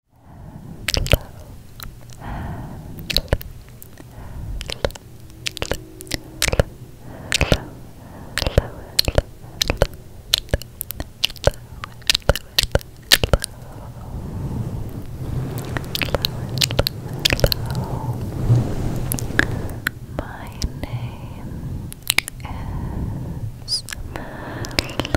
My name is Lama,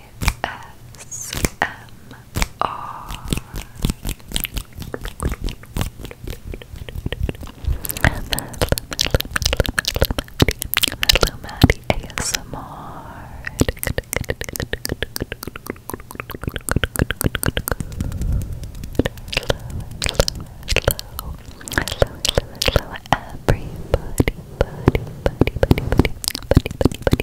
Hello, hello, hello, everybody, buddy, buddy, buddy, buddy, buddy, buddy, buddy, buddy, buddy, buddy, buddy, buddy, buddy, buddy,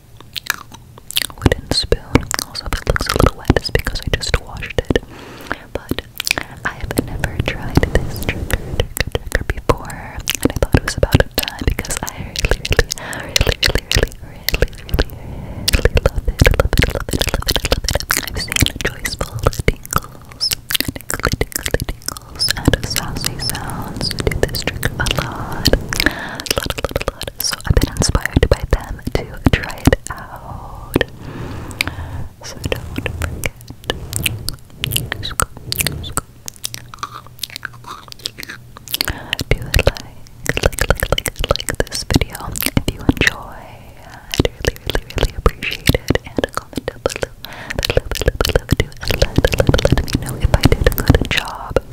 wooden spoon. Also, if it looks a little wet, it's because I just washed it. But I have never tried this trigger, before, and I thought it was about time because I really, really, really, really, really, really, really, really love it. Love it, love it, love it, love it. I've seen joyful tingles, tingly, tingly tingles, and saucy sounds do this trick a lot. So I've been inspired by them to try it out. So don't forget. Do like, like, like, like, this video if you enjoy. I'd really, really, really appreciate it. And comment down below. let me know if I did a good job.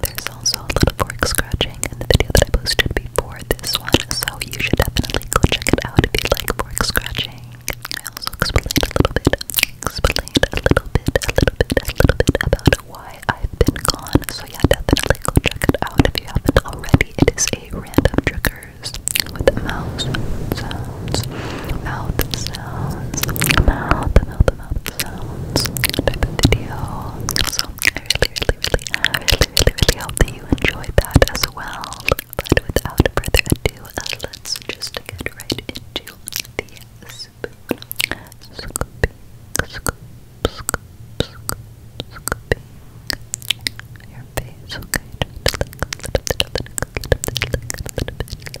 There's also a little fork scratching in the video that I posted before this one, so you should definitely go check it out if you like fork scratching. I also explained a little bit, explained a little bit, a little bit, a little bit about why I've been gone. So yeah, definitely go check it out if you haven't already. It is a random triggers with mouth sounds, mouth sounds, mouth, mouth, mouth love sounds type of video. So I really, really, really, really, really, really hope that you enjoyed that as well. But without further ado, uh, let's just get right into the soup. Scooping, scoop, scoop, scoop, scooping your face, okay? Just a little bit, a little bit, a little bit, a little bit, a little bit,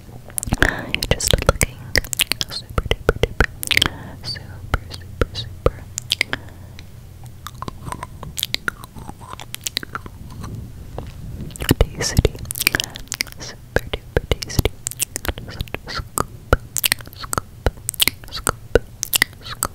you just looking super duper duper. Super, super, super. Tasty. Super duper tasty. Just scoop, scoop, scoop, scoop Scoop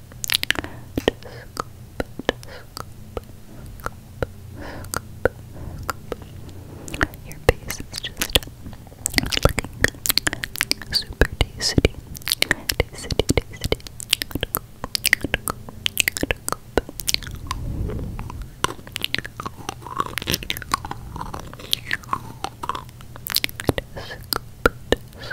Your face is just looking super tasty. Tasty, tasty. Scoop, scoop,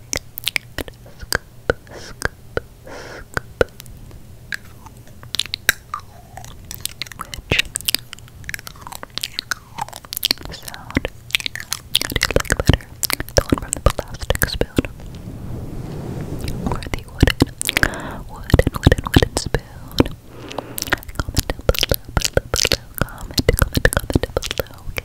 scoop, sound do you like better? The one from the plastic spoon or wooden, wooden, wooden, wooden spoon? Comment down below, below, below, comment, comment, comment below,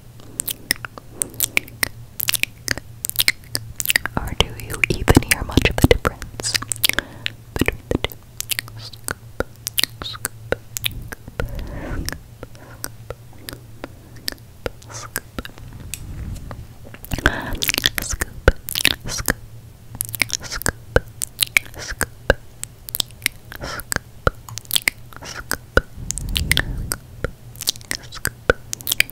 Or do you even hear much of the difference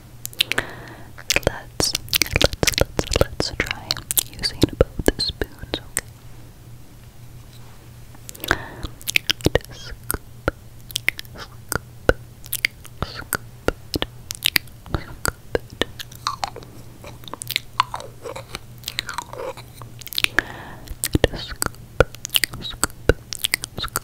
Let's, let's, let's, let's try using both the spoons, okay? Just scoop, scoop, scoop it, scoop it. Just scoop, scoop, scoop,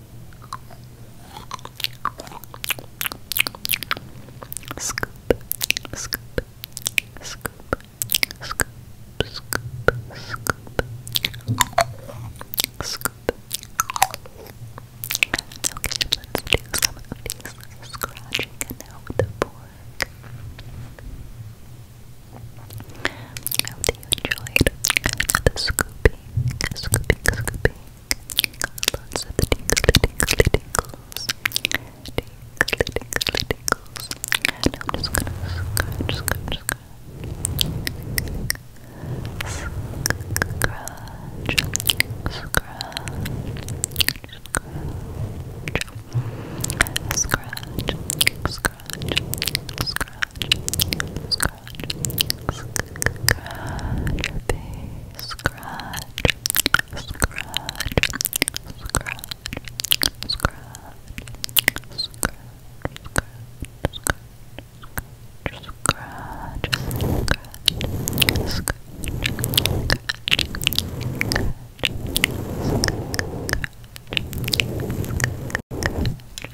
Scoop, scoop, scoop, scoop, scoop, scoop, scoop. Okay, let's do some of these scratching and out the fork you the scooping, scooping, scooping. Lots of tingly, tingly, tingles. Tingly, tingly, tingles. And I'm just gonna scratch, scratch, scratch. Scratch, scratch. Scratch, scratch, scratch, scratch, scratch, scratch your face, scratch, scratch, scratch, scratch, scratch, scratch. Scratch, scratch, scratch, scratch, scratch, scratch,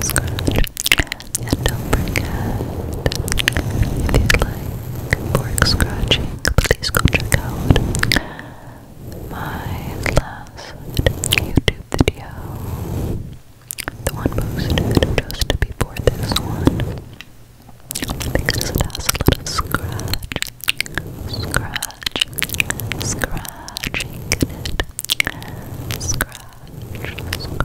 scratch, scratch, and don't forget, if you like more scratching, please go check out my last YouTube video, the one posted just before this one, because it has a lot scratch, scratch, scratch, scratching it, scratch, scratch, scratch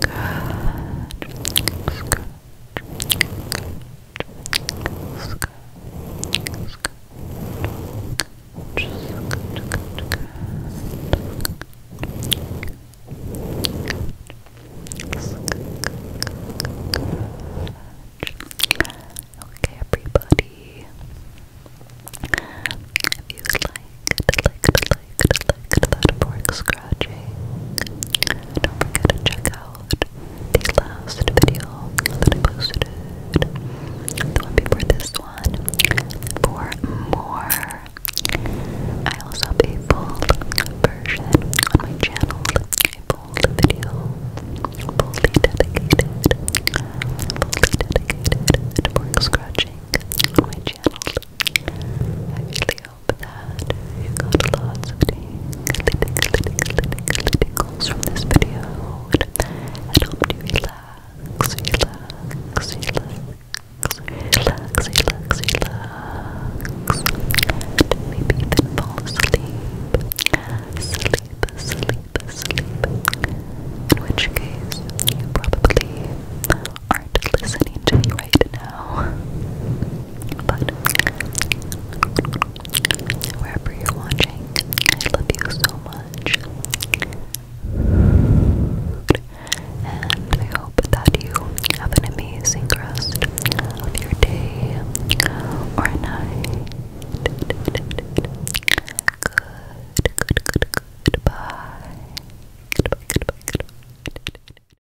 Good. Okay, everybody. If you liked, liked, liked, liked that fork scratching. Don't forget to check out the last video that I posted, the one before this one, for more. I also have a full version on my channel, a full video, fully dedicated, fully dedicated to scratching on my channel. I really hope that you got lots of tingles from this video and hope you relax, relax, relax, relax, relax, relax, and maybe even fall asleep, sleep, sleep, sleep, in which case you probably listening to me right now. But wherever you're watching, I love you so much. And I hope that you have an amazing rest of your day or night. Good, good, good, good. Goodbye. Goodbye, goodbye, goodbye.